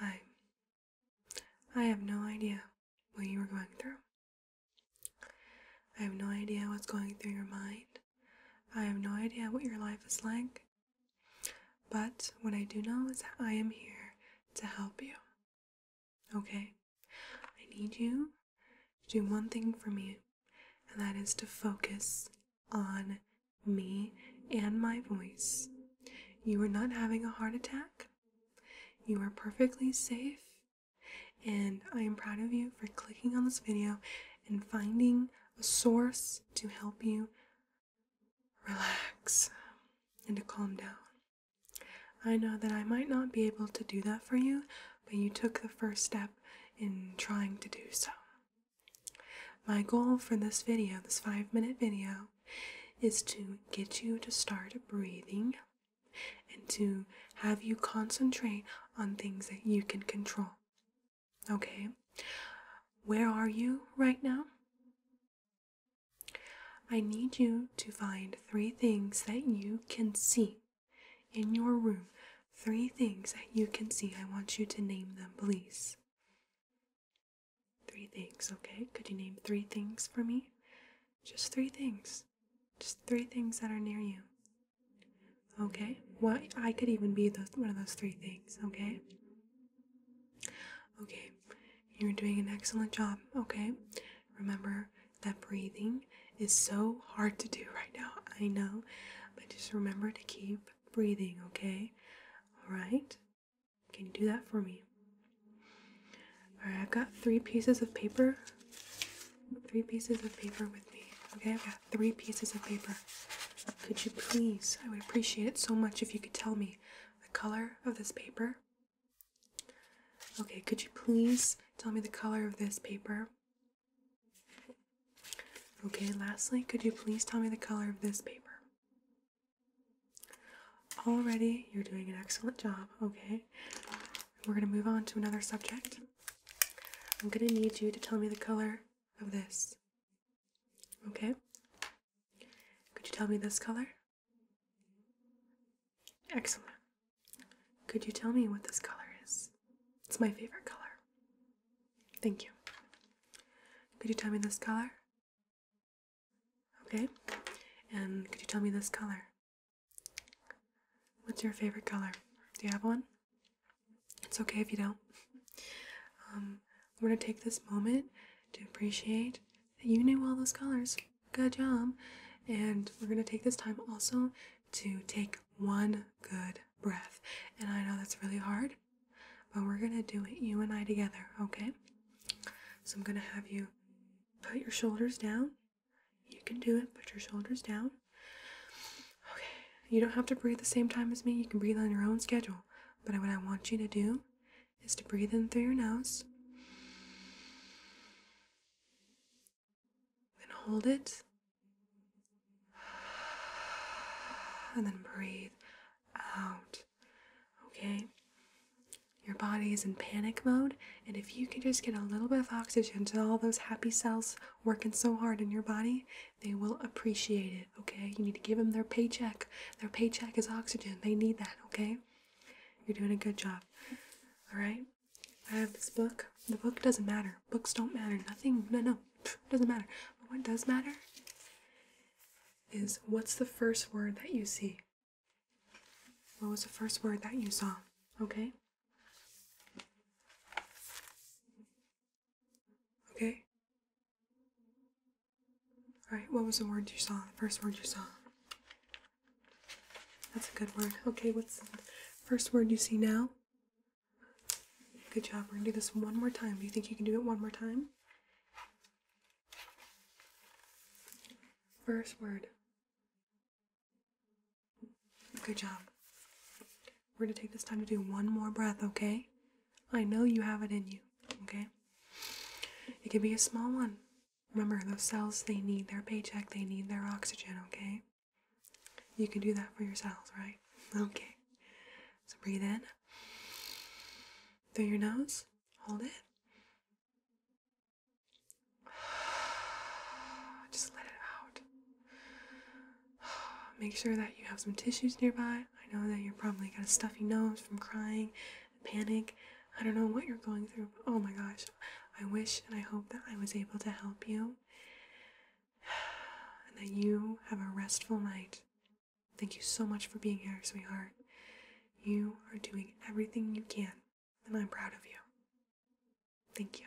I. I have no idea what you are going through. I have no idea what's going through your mind. I have no idea what your life is like. But what I do know is that I am here to help you. Okay? I need you to do one thing for me, and that is to focus on me, and my voice. You are not having a heart attack. You are perfectly safe. And I am proud of you for clicking on this video and finding a source to help you relax and to calm down. I know that I might not be able to do that for you, but you took the first step in trying to do so. My goal for this video, this five minute video, is to get you to start breathing and to have you concentrate on things that you can control. Okay, where are you right now? I need you to find three things that you can see. In your room, three things that you can see. I want you to name them, please. Three things, okay? Could you name three things for me? Just three things. Just three things that are near you. Okay? Well, I could even be one of those three things, okay? Okay, you're doing an excellent job, okay? Remember, that breathing is so hard to do right now. I know, but just remember to keep breathing, okay? All right? Can you do that for me? All right, I've got three pieces of paper. Three pieces of paper with me. Okay, I've got three pieces of paper. Could you please, I would appreciate it so much if you could tell me the color of this paper. Okay, could you please tell me the color of this paper? Okay, lastly, could you please tell me the color of this paper? Already, you're doing an excellent job, okay? We're gonna move on to another subject. I'm gonna need you to tell me the color of this. Okay? Could you tell me this color? Excellent. Could you tell me what this color is? It's my favorite color. Thank you. Could you tell me this color? Okay. And could you tell me this color? What's your favorite color? Do you have one? It's okay if you don't. Um, we're going to take this moment to appreciate that you knew all those colors. Good job. And we're going to take this time also to take one good breath. And I know that's really hard, but we're going to do it, you and I together, okay? So I'm going to have you put your shoulders down. You can do it, put your shoulders down. Okay, you don't have to breathe the same time as me, you can breathe on your own schedule. But what I want you to do is to breathe in through your nose then hold it and then breathe out okay your body is in panic mode and if you can just get a little bit of oxygen to all those happy cells working so hard in your body they will appreciate it okay? You need to give them their paycheck. Their paycheck is oxygen. They need that, okay? You're doing a good job. Alright? I have this book. The book doesn't matter. Books don't matter. Nothing, no, no, Pfft, doesn't matter. But what does matter is what's the first word that you see? What was the first word that you saw? Okay? Okay? All right, what was the word you saw? The first word you saw? That's a good word. Okay, what's the first word you see now? Good job. We're going to do this one more time. Do you think you can do it one more time? First word. Good job. We're going to take this time to do one more breath, okay? I know you have it in you, okay? It can be a small one. Remember, those cells, they need their paycheck, they need their oxygen, okay? You can do that for yourselves, right? Okay. So breathe in through your nose, hold it. Just let it out. Make sure that you have some tissues nearby. I know that you're probably got a stuffy nose from crying, panic. I don't know what you're going through, oh my gosh, I wish and I hope that I was able to help you and that you have a restful night. Thank you so much for being here, sweetheart. You are doing everything you can, and I'm proud of you. Thank you.